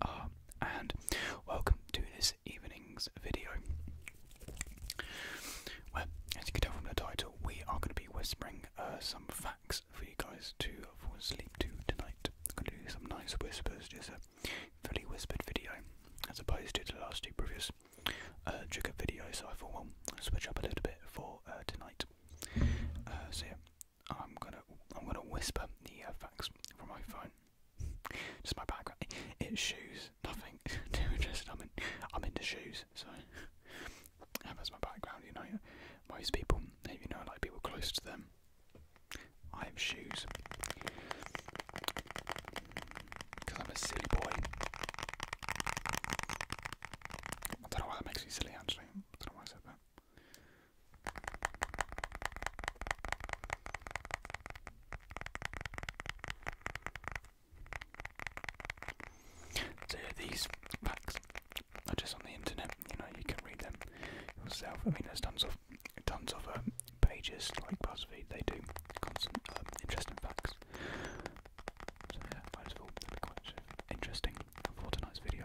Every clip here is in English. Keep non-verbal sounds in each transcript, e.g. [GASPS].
uh, and welcome to this evening's video, where, as you can tell from the title, we are going to be whispering uh, some facts for you guys to fall asleep to tonight. I'm going to do some nice whispers, just a fully whispered video, as opposed to the last two previous uh, trigger videos. So I thought, well, I'll switch up a little bit for uh, tonight. Uh, I'm gonna I'm gonna whisper the uh, facts from my phone. [LAUGHS] just my background. It's shoes. Nothing too [LAUGHS] interesting. I'm in, I'm into shoes, so [LAUGHS] that's my background. You know, most people, if you know, like people close to them. I have shoes because I'm a silly boy. I don't know why that makes me silly. Actually, I don't know why I said that. So these facts are just on the internet. You know, you can read them yourself. I mean, there's tons of tons of um, pages like BuzzFeed. They do constant um, interesting facts. So yeah, quite interesting for tonight's video.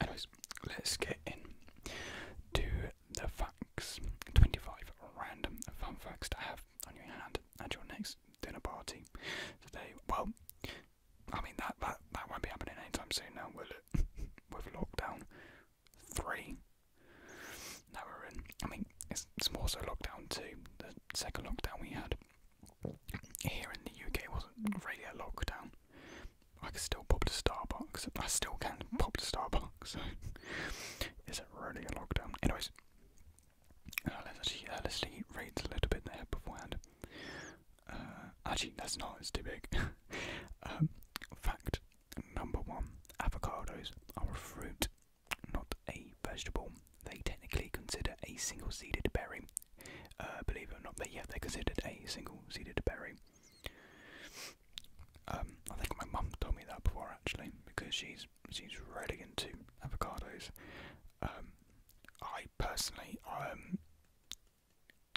anyways, let's get in to the facts. 25 random fun facts to have on your hand at your next dinner party today. Well, I mean that that, that won't be happening anytime soon now, will it? [LAUGHS] With lockdown three now we're in. I mean, it's, it's more so lockdown two, the second lockdown we had here in the UK it wasn't really a lockdown. I could still pop to Starbucks. I still can pop to Starbucks. So [LAUGHS] is it really a lockdown? Anyways, uh, let's actually uh, let's read a little bit there beforehand. Uh, actually, that's not. It's too big. [LAUGHS] um, fact number one: avocados are a fruit, not a vegetable. They technically consider a single-seeded berry uh, believe it or not, they yeah they're considered a single-seeded berry. Um, I think my mum told me that before actually, because she's she's really into avocados. Um, I personally um,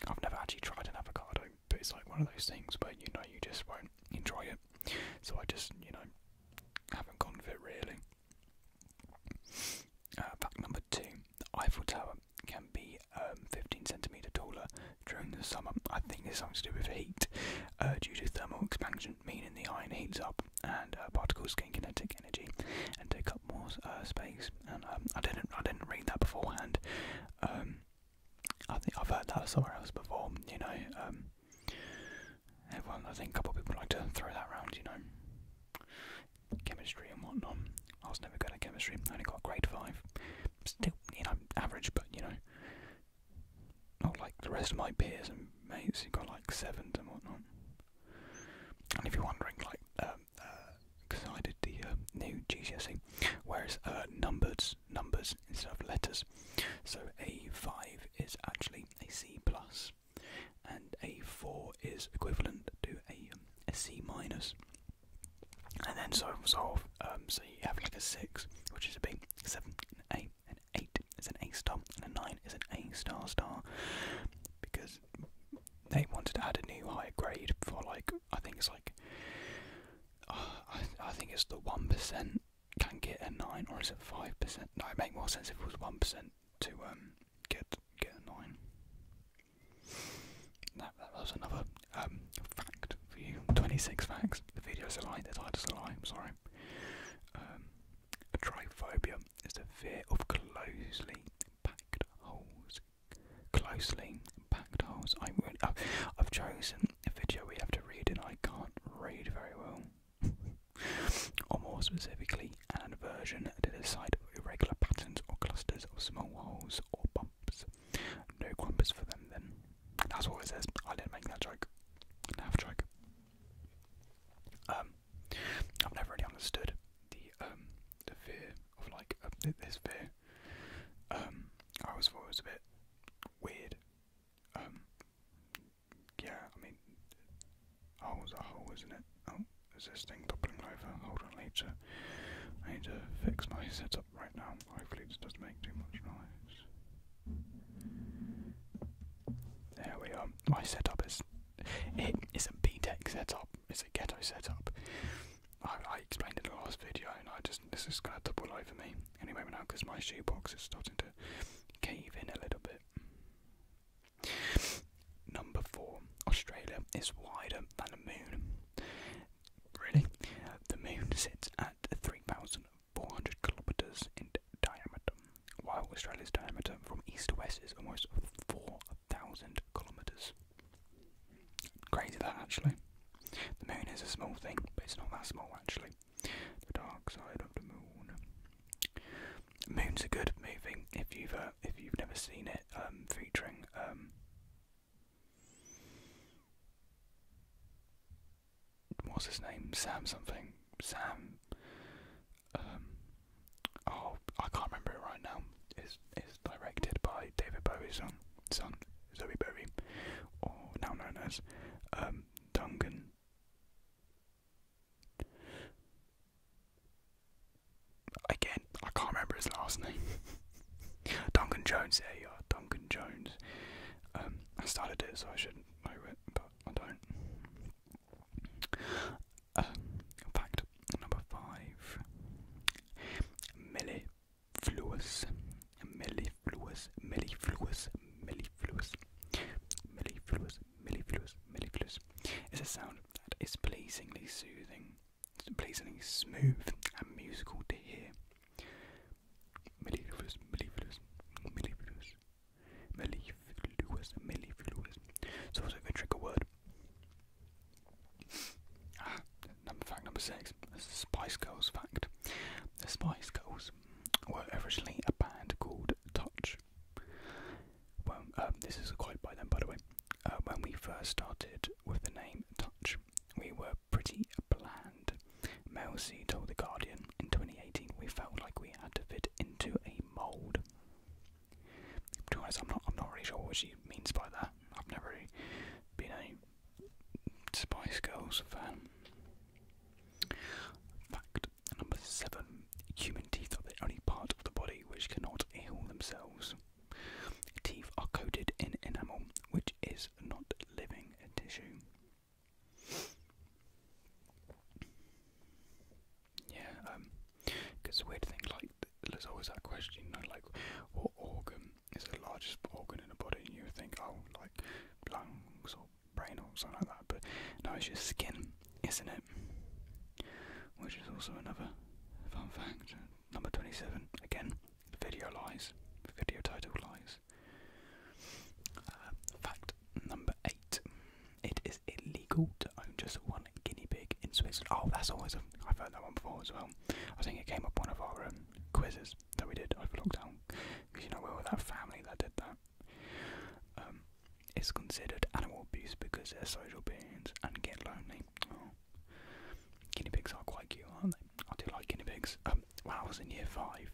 I've never actually tried an avocado, but it's like one of those things where you know you just won't enjoy it. So I just you know haven't gone for it really fact uh, number two: Eiffel Tower can be um, 15 centimeter taller during the summer. I think it's something to do with heat uh, due to thermal expansion, meaning the iron heats up and uh, particles gain kinetic energy and take up more space. And um, I didn't, I didn't read that beforehand. Um, I think I've heard that somewhere else before. You know, everyone. I think a couple of people like to throw that around. You know, chemistry and whatnot. I was never good at chemistry. I only got grade five. Still, you know, average, but you know, not like the rest of my peers and mates who got like sevens and whatnot. And if you're wondering, like, because um, uh, I did the um, new GCSE, whereas uh, numbers, numbers instead of letters. So a five is actually a C plus and a 4 is equivalent to a, um, a C minus. And then so solve, um, so you have like a 6, which is a B, 7, an A, an 8 is an A star, and a 9 is an A star star, because they wanted to add a new higher grade for like, I think it's like, uh, I, I think it's the 1% can get a 9, or is it 5%? No, it make more sense if it was 1% to um, get get annoying. That, that was another um, fact for you. 26 facts. The video's a lie, the title's a lie, I'm sorry. Um, a triphobia is the fear of closely packed holes. Closely packed holes. I've, I've chosen a video we have to read and I can't read very well. [LAUGHS] or more specifically, and aversion to the sight of irregular patterns or clusters of small holes or bumps. No grumpers for them then. That's what it says. I didn't make that joke. Half joke. Um, I've never really understood the um the fear of like uh, this fear. Um, I always thought it was a bit weird. Um, yeah, I mean, Oh, is a hole, isn't it? Oh, is this thing toppling over? Hold on, later. I need to fix my setup right now. Hopefully, this doesn't make too much noise. There we are. My setup is, it is B Tech setup. It's a ghetto setup. I, explained in the last video, and I just this is gonna double over me anyway now because my shoebox is starting to cave in a little bit. Number four, Australia is wider than the moon. Really? The moon sits at 3,400 kilometres in diameter, while Australia's diameter from east to west is almost 4,000 kilometres. Crazy that actually. The moon is a small thing, but it's not that small actually. The dark side of the moon. Moon's are good Moving if you've uh, if you've never seen it, um, featuring um, what's his name? Sam something. Sam. Um, oh, I can't remember it right now. It's is directed by David Bowie's son, son Zoe Bowie, or now known as um, Again, I can't remember his last name. [LAUGHS] Duncan Jones, there you Duncan Jones. Um, I started it, so I should know it, but I don't. Uh, fact number five: millifluous, millifluous, millifluous, millifluous, millifluous, mellifluous, mellifluous is a sound that is pleasingly soothing, pleasingly smooth and musical to hear. Mellifluous, mellifluous, mellifluous, mellifluous, mellifluous. It's also a trigger word. Ah, number fact number six, the Spice Girls fact. The Spice Girls were originally a band called Touch when um, this is a by them, by the way. Uh, when we first started with the name Touch, we were pretty bland. Mel C told The Guardian in 2018 we felt like we had to fit into a mould. To be honest, I'm not, I'm not really sure what she means by that. I've never really been a Spice Girls fan. Fact Number seven, human teeth are the only part of the body which cannot heal themselves. Teeth are coated in enamel, which is not living tissue. Yeah, um, because the weird thing, like, there's always that question, you know, like, what organ is the largest organ in the body? And you think, oh, like, lungs or brain or something like that, but no, it's your skin isn't it? Which is also another fun fact. Number 27, again, video lies, video title lies. Uh, fact number 8 it is illegal to own just one guinea pig in Switzerland. Oh, that's always a. I've heard that one before as well. I think it came up one of our um, quizzes that we did over lockdown. Because you know, we were that family that did that. Um, it's considered animal abuse because they're social beings and get lonely. Oh. Guinea pigs are quite cute, aren't they? I do like guinea pigs. Um, when I was in year five,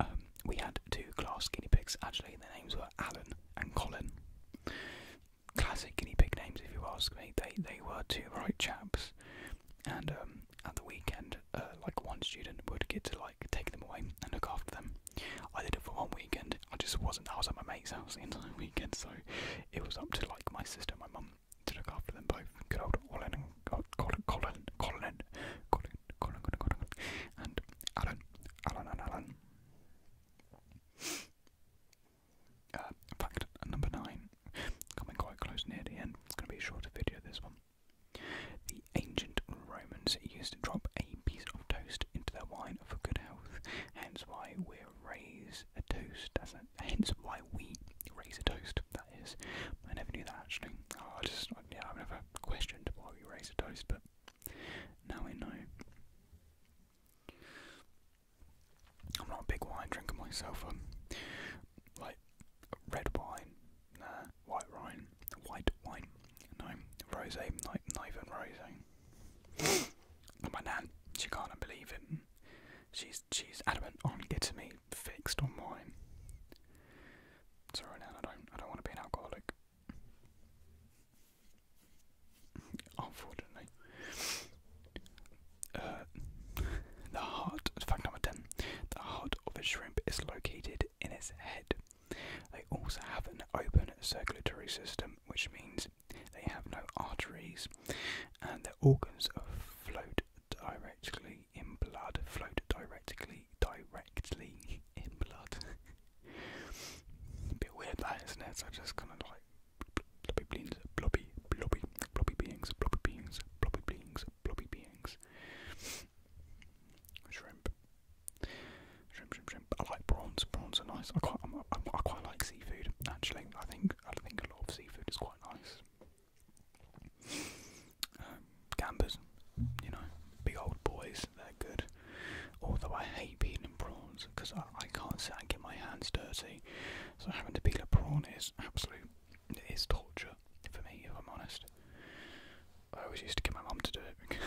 um, we had two class guinea pigs. Actually, their names were Alan and Colin. Classic guinea pig names, if you ask me. They they were two right chaps, and um, at the weekend, uh, like one student would get to like take them away and look after them, I did it for one weekend. I just wasn't. I was at my mate's house the entire [LAUGHS] weekend, so it was up to like my sister, and my mum to look after them both. Good old Colin and Colin, Colin, Colin, Colin, Colin, Colin, and Alan, Alan, and Alan. Uh, fact number nine, coming quite close near the end. It's going to be a shorter video. This one. The ancient Romans used to drop a piece toast into their wine for good health. Hence why we raise a toast. hence why we raise a toast. That is. I never knew that actually. Oh, I just yeah, I've never questioned why we raise a toast, but now we know. I'm not a big wine drinker myself. like red wine, white wine, um, white wine. No, rose, not, not even rose. [GASPS] My nan, she can't believe it. She's she's adamant on getting me fixed on wine. Sorry, Nan, I don't I don't want to be an alcoholic. Unfortunately, uh, the heart. In fact, number ten. The heart of a shrimp is located in its head. They also have an open circulatory system, which means they have no arteries, and their organs float directly in blood. Float directly, directly in blood. a [LAUGHS] bit weird, that just kind of like blobby, blobby, blobby beings, blobby beings, blobby beings, blobby beings. Shrimp. Shrimp, shrimp, shrimp. I like prawns. Prawns are nice. I quite, i quite like seafood. Actually, I think I think a lot of seafood is quite nice. Um, gambers, you know, big old boys. They're good. Although I hate peeling prawns because I, can't sit and get my hands dirty. So having to peel a prawn is absolute. It is torture for me, if I'm honest. I always used to get my mum to do it,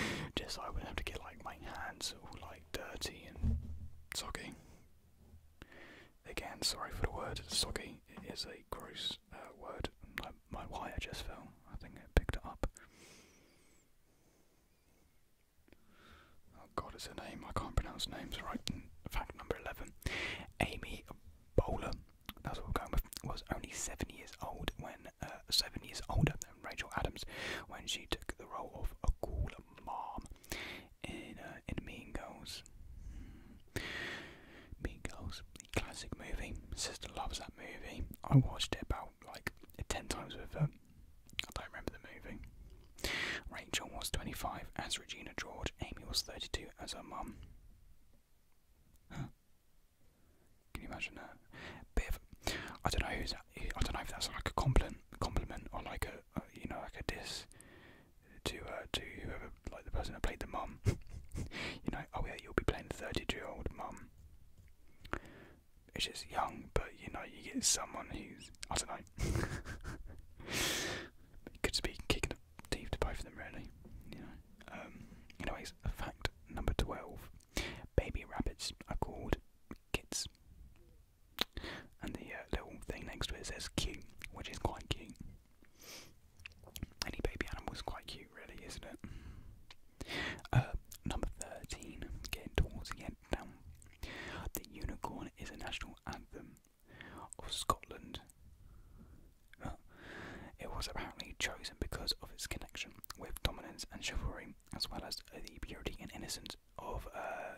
[LAUGHS] just I wouldn't have to get like my hands all like dirty and soggy. Again, sorry for the word soggy. is a gross uh, word. My, wire just fell. I think it picked it up. Oh God, it's a name. I can't pronounce names right. Fact number eleven: Amy Bowler. That's what we're going with. Was only seven years old when uh, seven years older than Rachel Adams when she took the role of a cool mom in uh, in Mean Girls. Mean Girls, classic movie. Sister loves that movie. I watched it about like ten times with her. I don't remember the movie. Rachel was 25 as Regina George. Amy was 32 as her mom. Can you imagine that? Bit of, I don't know who's. I don't know if that's like a compliment, compliment or like a, you know like a diss to uh, to whoever like the person that played the mom. [LAUGHS] you know, oh yeah, you'll be playing the thirty-two-year-old mom. It's just young, but you know, you get someone who's I don't know. [LAUGHS] Could be kicking the teeth to both of them, really. You know. Um, anyways, a fact Number 12. Baby rabbits are called kits. And the uh, little thing next to it says cute, which is quite cute. Any baby animal is quite cute, really, isn't it? Uh, number 13. Getting towards the end now. The unicorn is a national anthem of Scotland. It was apparently chosen because of its connection with dominance and chivalry, as well as the purity and innocence of uh,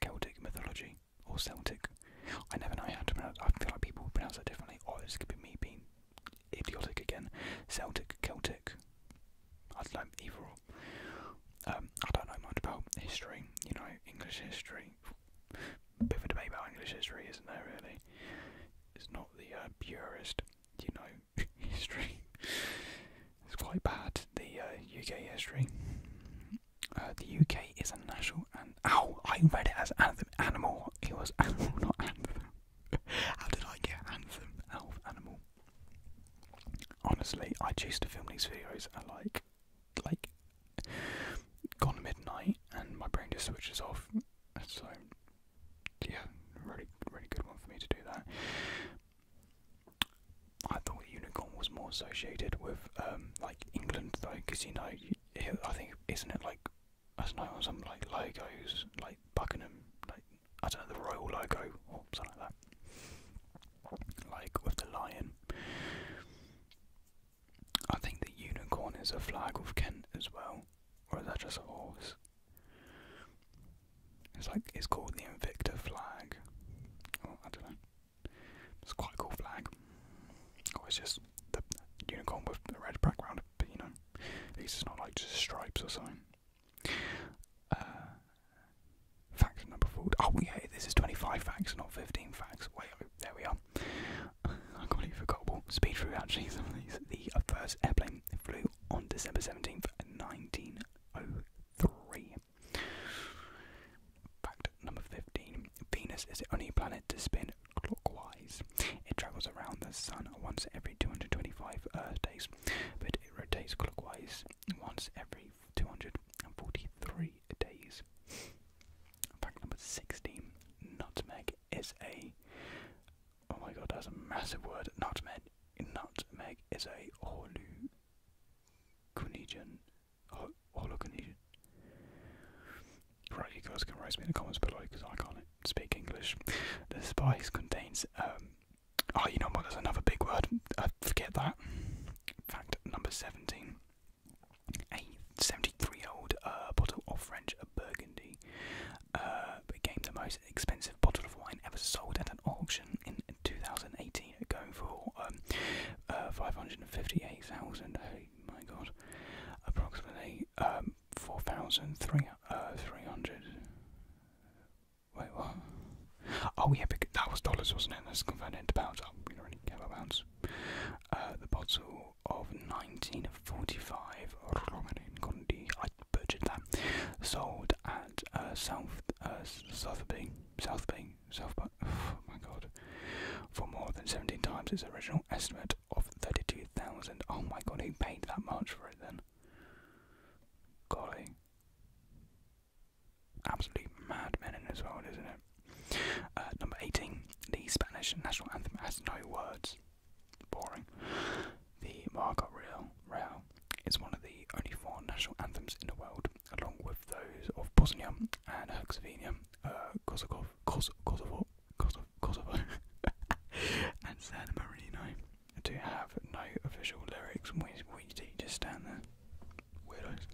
Celtic mythology or Celtic. I never know how to pronounce. I feel like people pronounce it differently. oh, this could be me being idiotic again. Celtic, Celtic. I don't know um, I don't know much about history. You know, English history. Bit of a debate about English history, isn't there? Really, it's not the uh, purest, you know, [LAUGHS] history. It's quite bad, the UK uh, history. Uh, the UK is a national and ow, I read it as anthem animal. It was [LAUGHS] animal, not anthem. [LAUGHS] How did I get anthem out animal? Honestly, I choose to film these videos at like like gone midnight and my brain just switches off. So yeah, really, really good one for me to do that. I thought unicorn was more associated with um, like England though, because you know, I think isn't it like I don't know on some like logos like Buckingham, like I don't know the royal logo or something like that, like with the lion. I think the unicorn is a flag of Kent as well. Or is that just a horse? It's like it's called the Invicta flag. Oh, I don't know. It's quite a cool flag. Or oh, it's just the unicorn with a red background, but you know, at least it's not like just stripes or something. Uh, fact number four. Oh yeah, this is 25 facts, not 15 facts. Wait, oh, there we are. I completely forgot. speed through actually some of these. The uh, first airplane flew on December 17th, 1903. Fact number 15 Venus is the only planet to spin clockwise. It travels around the Sun once every 225 Earth days, but it rotates clockwise once every 243 days. Fact number 16 Nutmeg is a oh my god, that's a massive word. Nutmeg, nutmeg is a holuconigen, holuconigen. Right, you guys can write me in the comments below because I can't speak English. The spice contains um. Oh, you know what? There's another big word. I forget that. Fact number seventeen. 73 old uh, bottle of French Burgundy uh, became the most expensive bottle of wine ever sold at an auction in 2018, going for um, uh, 558,000. Oh my god, approximately um, 4,300. Uh, Wait, what? Oh yeah, that was dollars, wasn't it? Let's convert it into pounds. Oh, we don't really care about pounds. Uh, the bottle of 1945, Romarin Condi, I butchered that, sold at South South, uh, South Southby, South, [SIGHS] oh my god, for more than 17 times its original estimate of 32,000. Oh my god, who paid that much for it then? Golly. Absolute madmen in this world, isn't it? Uh, number 18. The Spanish national anthem has no words boring. The Margot Rail is one of the only four national anthems in the world, along with those of Bosnia and Herzegovina, uh, Kosovo, Kosovo, Kosovo, [LAUGHS] and San Marino, to have no official lyrics. We, we just stand there, weirdos.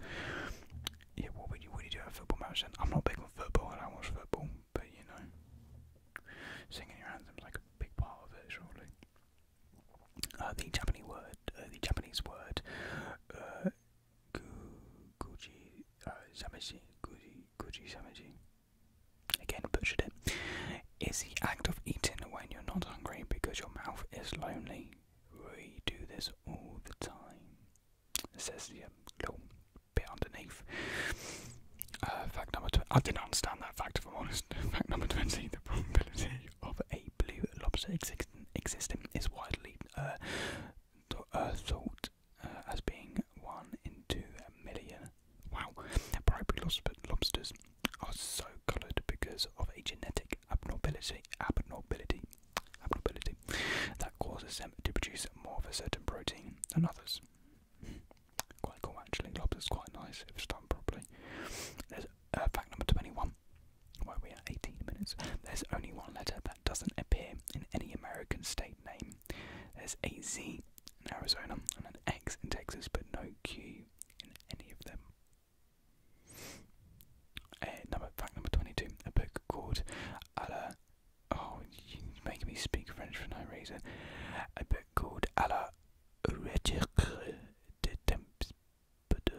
Yeah, what you, what do you do at football match I'm not big on football, I don't watch football, but you know, singing your anthem's like a big part of it, surely. Uh, the Japanese word, uh, the Japanese word, uh, guji uh, samashi, guji guji Again, butchered it. Is the act of eating when you're not hungry because your mouth is lonely. We do this all the time. says the um, bit underneath. Uh, fact number tw I didn't understand that fact if I'm honest. [LAUGHS] fact number 20 the probability [LAUGHS] of a blue lobster existing, existing is widely uh, uh thought uh, as being 1 in 2 million. Wow. Bribery lobster lobsters are so coloured because of a genetic abnormality. Abnormality. Abnormality causes them to produce more of a certain protein than others. [LAUGHS] quite cool actually, lobster's quite nice if done properly. There's uh, fact number 21. Where we are 18 minutes. There's only one letter that doesn't appear in any American state name. There's a Z in Arizona and an X in Texas, but no Q in any of them. Uh, number fact number 22. A book called Alla Oh, making me speak French for no reason. A book called A la recherche de temps de.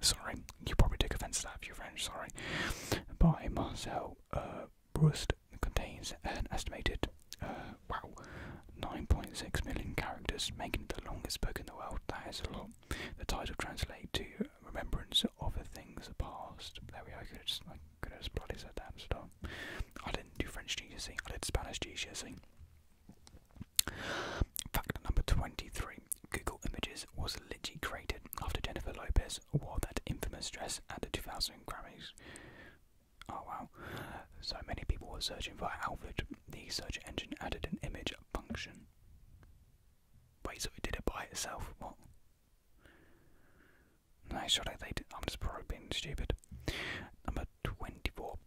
Sorry, you probably take offence to that if you're French, sorry. By Marcel uh, Proust contains an estimated, uh, wow, 9.6 million characters, making it the longest book in the world. That is a lot. The title translates to Remembrance so other things are past. There we are. I could have just, bloody said that and stuff. I didn't do French GCSE. I did Spanish GCSE. Fact number 23. Google Images was literally created after Jennifer Lopez wore that infamous dress at the 2000 Grammys. Oh wow. So many people were searching for her outfit. The search engine added an image function. Wait, so it did it by itself? What? Nice shot, I I'm just probably being stupid. Number 24.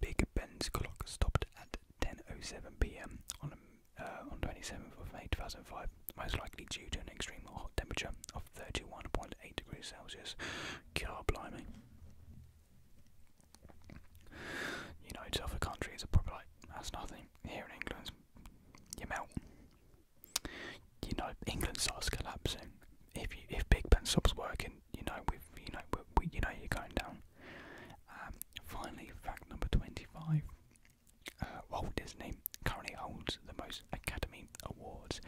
Big Ben's clock stopped at 10:07 p.m. on uh, on 27th of May 2005, most likely due to an extreme hot temperature of 31.8 degrees Celsius. God blimey! You know, to other countries are probably like that's nothing. Here in England, you melt you know, England starts collapsing. If you, if Big Ben stops working, you know we've you know we, you know you're going down. Um, finally, fact number twenty-five: uh, Walt Disney currently holds the most Academy Awards.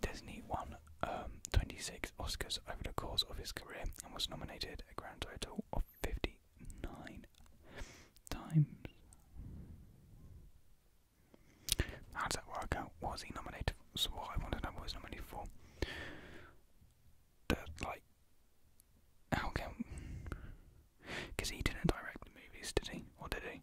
Disney won um, twenty-six Oscars over the course of his career and was nominated a grand total of fifty nine times. How does that work out? What was he nominated for? So I want to know was nominated for. like, how can... Because he didn't direct the movies, did he? Or did he?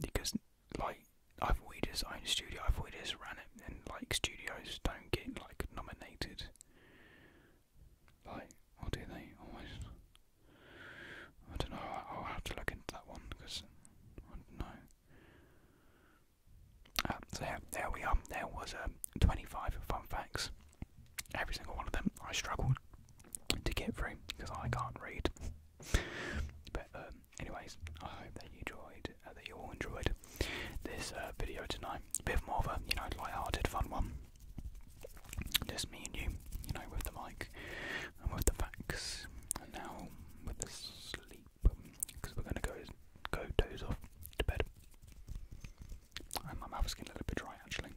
Because, like, I thought he just owned studio, I thought he just ran it, and, like, studios don't get, like, nominated like, or do they always? I don't know. I'll have to look into that one because I don't know. Uh, so yeah, there we are. There was a um, 25 fun facts. Every single one of them I struggled to get through because I can't read. [LAUGHS] but um, anyways, I hope that you enjoyed, uh, that you all enjoyed this uh, video tonight. A bit more of a you know light-hearted, fun one. Just me and you, you know, with the mic and with the facts, and now with the sleep, because um, we're gonna go go doze off to bed. And my mouth's getting a little bit dry actually.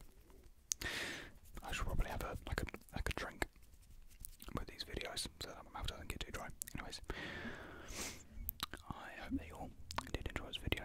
I should probably have a like a like a drink with these videos so that my mouth doesn't get too dry. Anyways, I hope that you all did enjoy this video